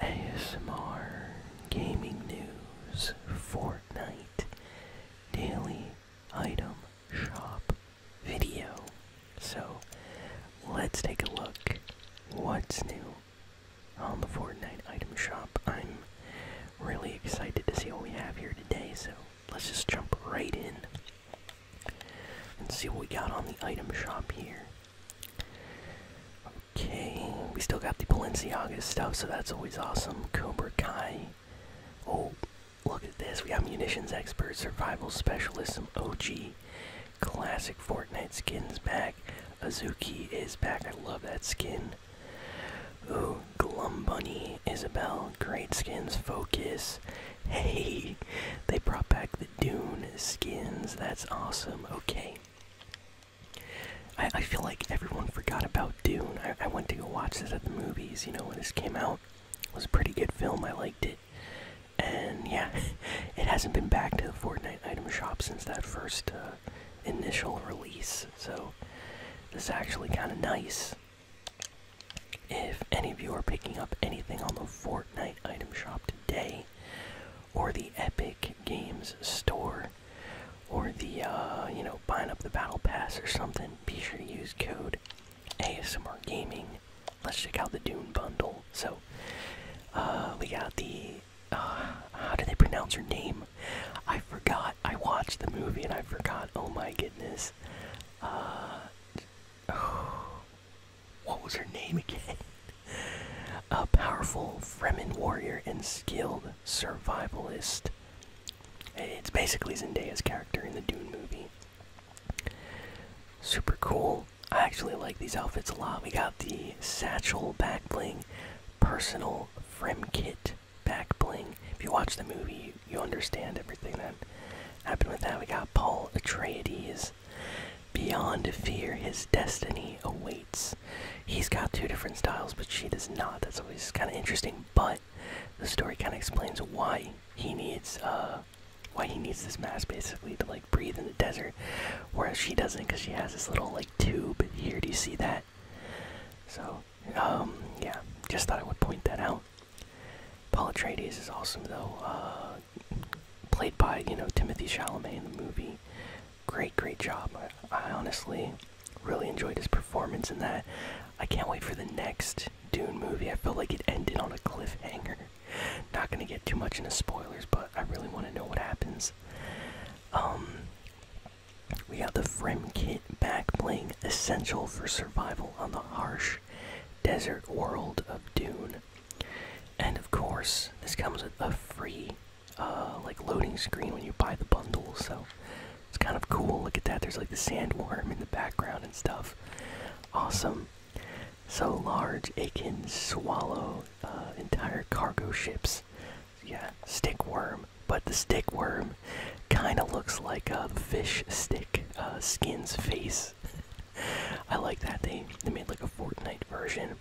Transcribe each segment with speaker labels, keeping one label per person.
Speaker 1: ASMR Gaming News Fortnite Daily Item Shop video. So let's take a look what's new on the Fortnite item shop. I'm really excited to see what we have here today, so let's just jump right in. Let's see what we got on the item shop here. Okay, we still got the Balenciaga stuff, so that's always awesome. Cobra Kai. Oh, look at this. We got Munitions Expert, Survival Specialist, some OG classic Fortnite skins back. Azuki is back. I love that skin. Ooh, Glum Bunny, Isabel, great skins, Focus. Hey, they brought back the. Dune skins. That's awesome. Okay. I, feel like everyone forgot about Dune. I, went to go watch this at the movies, you know, when this came out. It was a pretty good film. I liked it. And yeah, it hasn't been back to the Fortnite item shop since that first uh, initial release. So this is actually kind of nice. If any of you are picking up anything on the Fortnite item shop today, or the Epic Games store, or the uh, you know buying up the battle pass or something, be sure to use code ASMR Gaming. Let's check out the Dune bundle. So uh, we got the uh, how do they pronounce her name? I forgot. I watched the movie and I forgot. Oh my goodness. Uh, what was her name again? A powerful Fremen warrior and skilled survivalist. It's basically Zendaya's character in the Dune movie. Super cool. I actually like these outfits a lot. We got the satchel back bling, personal Frem kit back bling. If you watch the movie, you, you understand everything that happened with that. We got Paul Atreides Beyond fear, his destiny awaits. He's got two different styles, but she does not. That's always kind of interesting. But the story kind of explains why he needs uh, why he needs this mask basically to like breathe in the desert, whereas she doesn't because she has this little like tube here. Do you see that? So um, yeah, just thought I would point that out. Paul Atreides is awesome though. Uh, played by you know Timothy Chalamet in the movie. Great, great job. I, honestly really enjoyed his performance in that. I can't wait for the next Dune movie. I feel like it ended on a cliffhanger. Not gonna get too much into spoilers, but I really want to know what happens. Um, we have the Fremkit back playing Essential for Survival on the Harsh desert world of Dune. And of course, this comes with a free uh, like loading screen when you buy the bundle, so it's kind of cool. Look at that. There's like the sandworm in the background and stuff. Awesome. So large, it can swallow uh, entire cargo ships. Yeah, stick worm. But the stick worm kind of looks like a fish stick uh, skin's face. I like that they they made like a Fortnite version.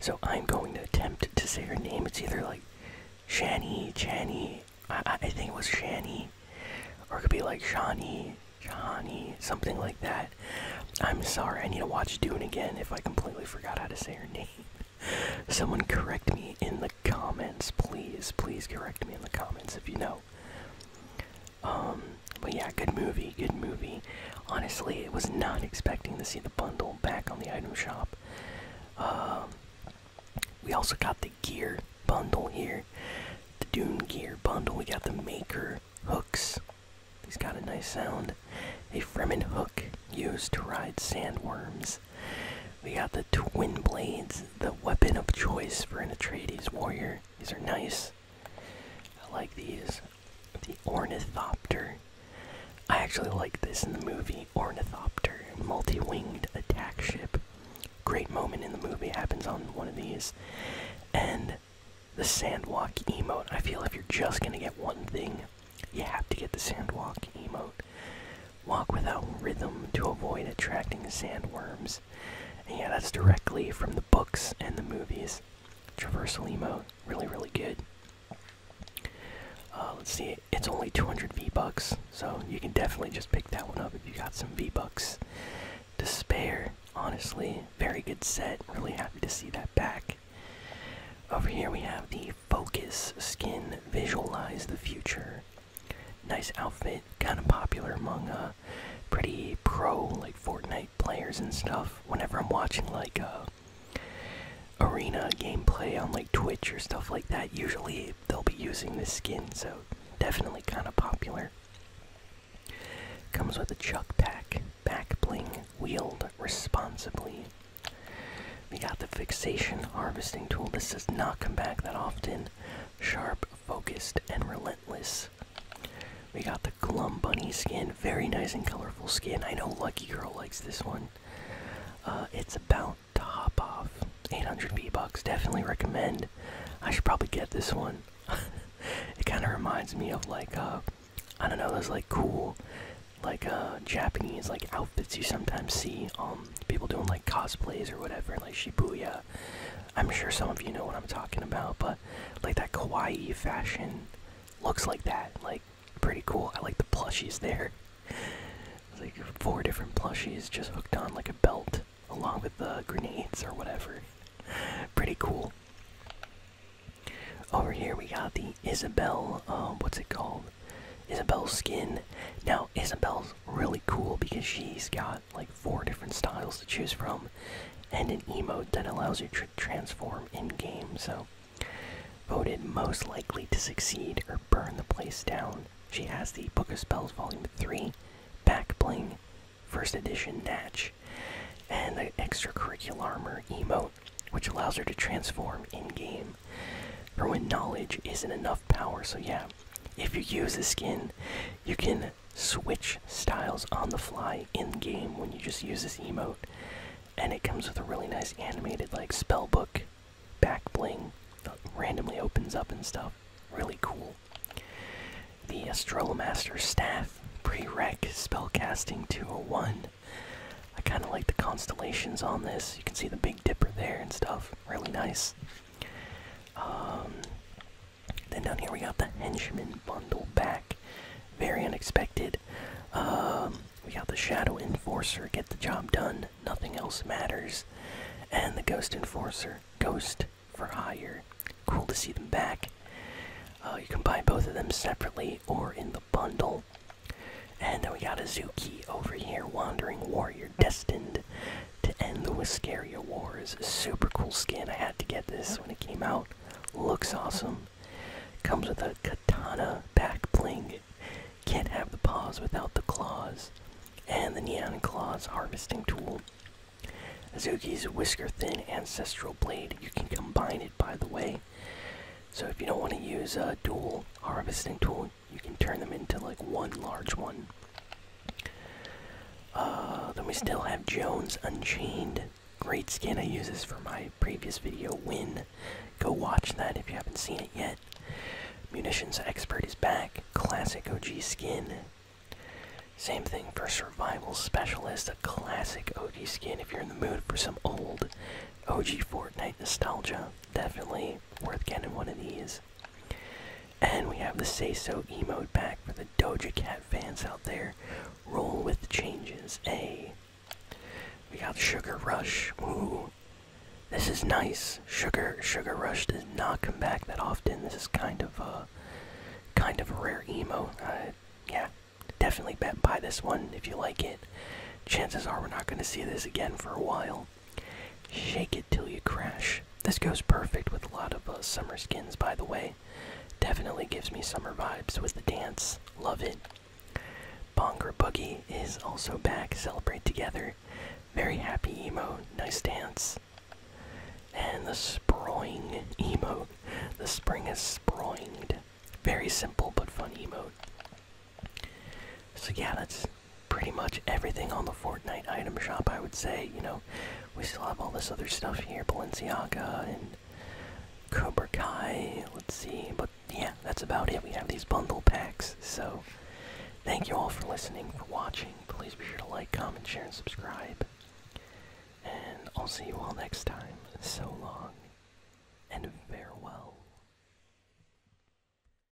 Speaker 1: So I'm going to attempt to say her name. It's either like Shani, Chani. I, I think it was Shani, or it could be like Shani, Shani, something like that. I'm sorry. I need to watch Dune again if I completely forgot how to say her name. Someone correct me in the comments, please. Please correct me in the comments if you know. Um, but yeah, good movie, good movie. Honestly, it was not expecting to see the bundle back on the item shop. Um, we also got the gear bundle here, the Dune gear bundle. We got the Maker hooks. He's got a nice sound. A Fremen hook used to ride sandworms. We got the twin blades the weapon of choice for an Atreides warrior. These are nice. I like these. The Ornithopter. I actually like this in the movie Ornithopter, multi winged attack ship. Great moment in the movie happens on one of these. And the Sandwalk emote. I feel if you're just gonna get one thing, you have to get the Sandwalk emote. Walk without rhythm to avoid attracting sandworms yeah, that's directly from the books and the movies. Traversal emote, really, really good. Uh, let's see, it's only 200 V bucks, so you can definitely just pick that one up if you got some V bucks Despair, Honestly, very good set. Really happy to see that back. Over here we have the Focus skin. Visualize the future. Nice outfit, kind of popular among uh, pretty pro like Fortnite players and stuff. Whenever I'm watching like a uh, arena gameplay on like Twitch or stuff like that, usually they'll be using this skin, so definitely kind of popular. Comes with a chuck pack, back bling, wield responsibly. We got the fixation harvesting tool. This does not come back that often. Sharp focused, and relentless. We got the Glum Bunny skin, very nice and colorful skin. I know Lucky Girl likes this one. Uh, it's about to hop off. 800 V bucks, definitely recommend. I should probably get this one. it kind of reminds me of like, uh, I don't know, those like cool, like uh, Japanese like outfits you sometimes see um people doing like cosplays or whatever, like Shibuya I'm sure some of you know what I'm talking about, but like that kawaii fashion looks like that. Like, pretty cool. I like the plushies there. Like, four different plushies just hooked on like a belt along with the grenades or whatever. pretty cool. Over here we got the Isabelle, um, what's it called? Isabelle's skin. Now, Isabelle's really cool because she's got like four different styles to choose from and an emote that allows you to transform in game. So, voted most likely to succeed or burn the place down. She has the Book of Spells Volume 3 Back Bling First Edition Natch and the Extracurricular Armor emote, which allows her to transform in game. Her when knowledge isn't enough power. So, yeah, if you use the skin, you can switch styles on the fly in game when you just use this emote. And it comes with a really nice animated, like, spell book back bling that randomly opens up and stuff. Really cool. The Astrolomaster Staff prereq spellcasting 201. I kind of like the constellations on this. You can see the Big Dipper there and stuff. Really nice. Um, then down here we got the henchman bundle back. Very unexpected. Um, we got the shadow enforcer. Get the job done. Nothing else matters. And the ghost enforcer. Ghost for hire. Cool to see them back. Uh, you can buy both of them separately or in the bundle. And then we got a Zuki over here, Wandering Warrior Destined to end the Whiskeria War is a super cool skin. I had to get this when it came out. Looks awesome. Comes with a katana back bling. Can't have the paws without the claws. And the Neon Claws harvesting tool. Azuki's Whisker Thin Ancestral Blade. You can combine it, by the way. So if you don't want to use a dual harvesting tool, you can turn them into like one large one. Uh, then we still have Jones Unchained. Great skin. I use this for my previous video win. Go watch that if you haven't seen it yet. Munitions Expert is back. Classic OG skin. Same thing for Survival Specialist, a classic OG skin. If you're in the mood for some old OG Fortnite nostalgia, definitely worth getting one of these. And we have the Say So emote back for the Doja Cat fans out there. Roll with the changes, a. We got Sugar Rush. Ooh. This is nice. Sugar Sugar Rush does not come back that often. This is kind of a kind of a rare emo. Uh, yeah, definitely bet buy this one if you like it. Chances are we're not going to see this again for a while. Shake it till you crash. This goes perfect with a lot of uh, summer skins, by the way. Definitely gives me summer vibes with the dance. Love it. Bonger Boogie is also back. Celebrate together. Very happy emo. Nice dance. And the sprawling emo. The spring is sprawled. Very simple but fun emo. So yeah, that's pretty much everything on the Fortnite item shop. I would say, you know, we still have all this other stuff here, Balenciaga and Cobra Kai. Let's see, but yeah, that's about it. We have these bundle packs. So thank you all for listening, for watching. Please be sure to like, comment, share, and subscribe. And I'll see you all next time. So long and farewell.